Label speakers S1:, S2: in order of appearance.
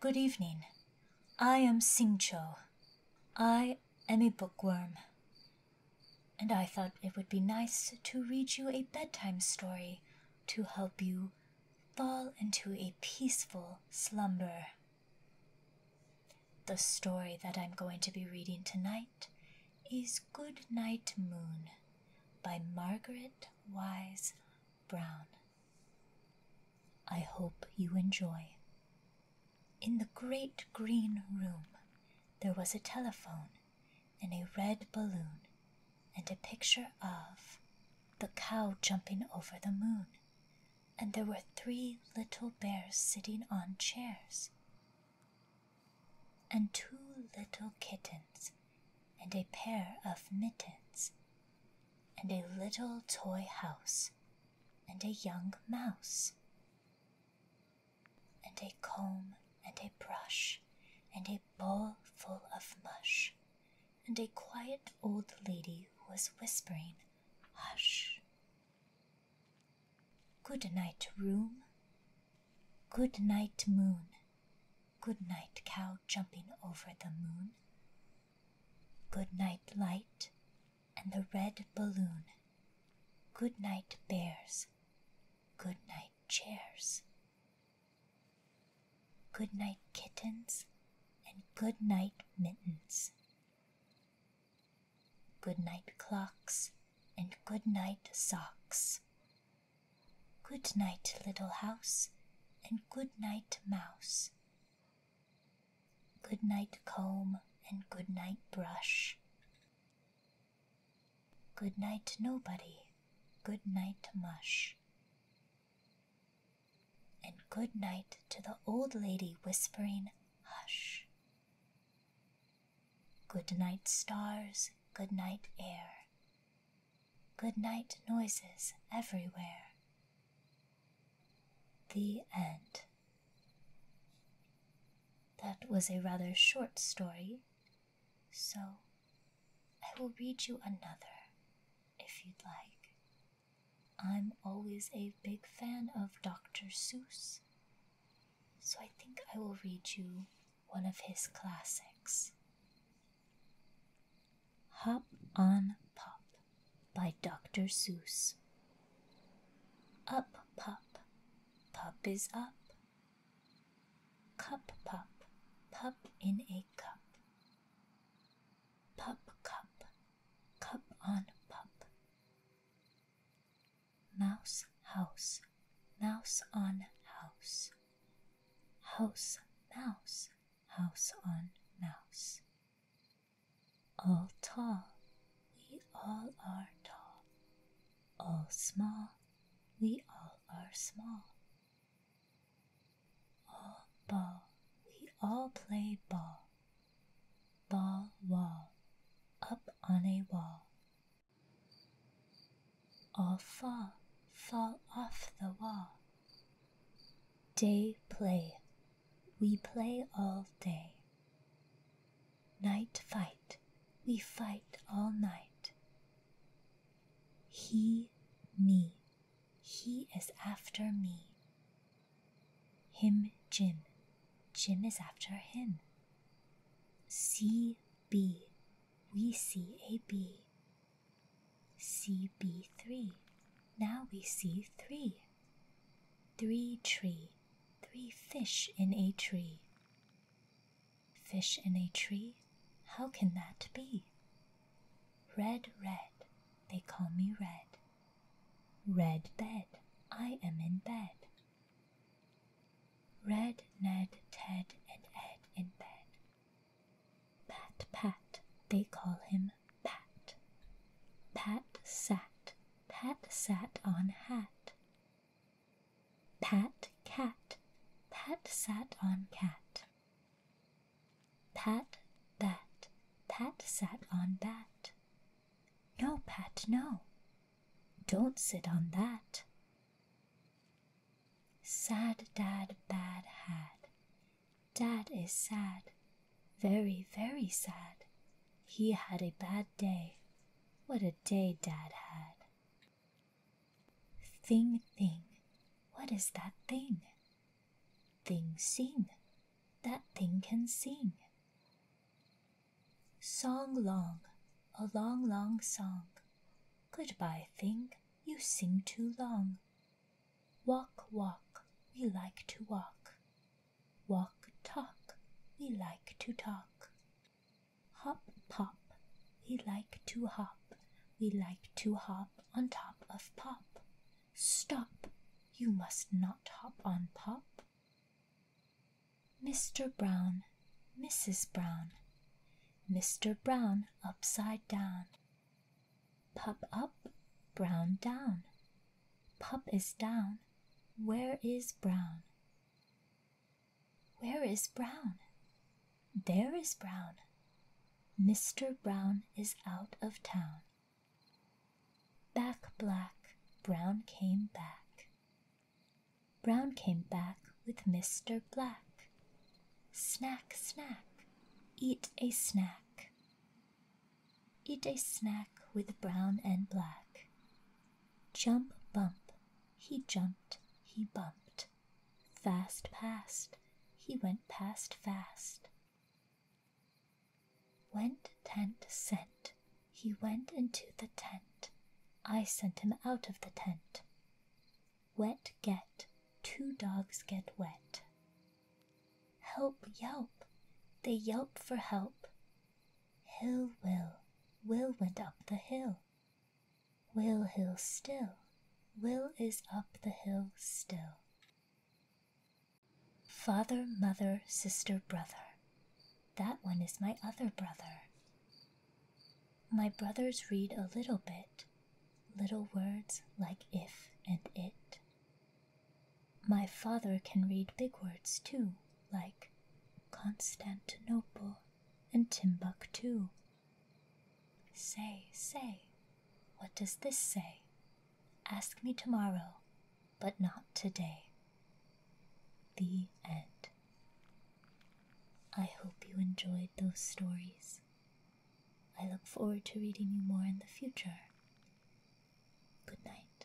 S1: Good evening. I am Sing Cho. I am a bookworm. And I thought it would be nice to read you a bedtime story to help you fall into a peaceful slumber. The story that I'm going to be reading tonight is Good Night Moon by Margaret Wise Brown. I hope you enjoy. In the great green room, there was a telephone and a red balloon and a picture of the cow jumping over the moon, and there were three little bears sitting on chairs, and two little kittens, and a pair of mittens, and a little toy house, and a young mouse, and a comb, and a brush, and a bowl full of mush, and a quiet old lady was whispering, Hush! Good night, room. Good night, moon. Good night, cow jumping over the moon. Good night, light and the red balloon. Good night, bears. Good night, chairs. Good night, kittens, and good night, mittens. Good night, clocks, and good night, socks. Good night, little house, and good night, mouse. Good night, comb, and good night, brush. Good night, nobody, good night, mush and good night to the old lady whispering, Hush. Good night, stars, good night, air. Good night, noises everywhere. The end. That was a rather short story, so I will read you another if you'd like. I'm always a big fan of Dr. Seuss, so I think I will read you one of his classics Hop on Pop by Dr. Seuss. Up, pop, pop is up. Cup, pop, pop in a cup pup cup, cup on pup. Mouse house, mouse on house. House mouse, house on mouse. All tall, we all are tall. All small, we all are small. Oh, ball, we all play ball. Ball, wall, up on a wall. All fall, fall off the wall. Day play, we play all day. Night fight, we fight all night. He, me, he is after me. Him Jim. Jim is after him. C B. We see a B. C B three. Now we see three. Three tree. Three fish in a tree. Fish in a tree? How can that be? Red, red, they call me red. Red bed, I am in bed. Red, Ned, Ted, and Ed in bed. Pat, Pat, they call him Pat. Pat sat, Pat sat on hat. Pat, cat, Pat sat on cat. Pat, that, Pat sat on that. No, Pat, no. Don't sit on that. Sad dad bad hat. Dad is sad, very, very sad. He had a bad day. What a day dad had. Thing, thing, what is that thing? Thing sing, that thing can sing. Song long, a long, long song. Goodbye, thing, you sing too long. Walk, walk, we like to walk. Walk, talk, we like to talk. Hop, pop, we like to hop. We like to hop on top of pop. Stop, you must not hop on pop. Mr. Brown, Mrs. Brown, Mr. Brown upside down. Pop up, Brown down. Pop is down, where is Brown? Where is Brown? There is Brown. Mr. Brown is out of town. Back black, Brown came back. Brown came back with Mr. Black. Snack, snack, eat a snack. Eat a snack with Brown and Black. Jump, bump, he jumped, he bumped. Fast past, he went past fast. Went tent sent, he went into the tent. I sent him out of the tent. Wet get, two dogs get wet. Help yelp, they yelp for help. Hill will, will went up the hill. Will hill still, will is up the hill still. Father, mother, sister, brother. That one is my other brother. My brothers read a little bit, little words like if and it. My father can read big words too, like Constantinople and Timbuktu. Say, say, what does this say? Ask me tomorrow, but not today. The end. I hope you enjoyed those stories. I look forward to reading you more in the future. Good night.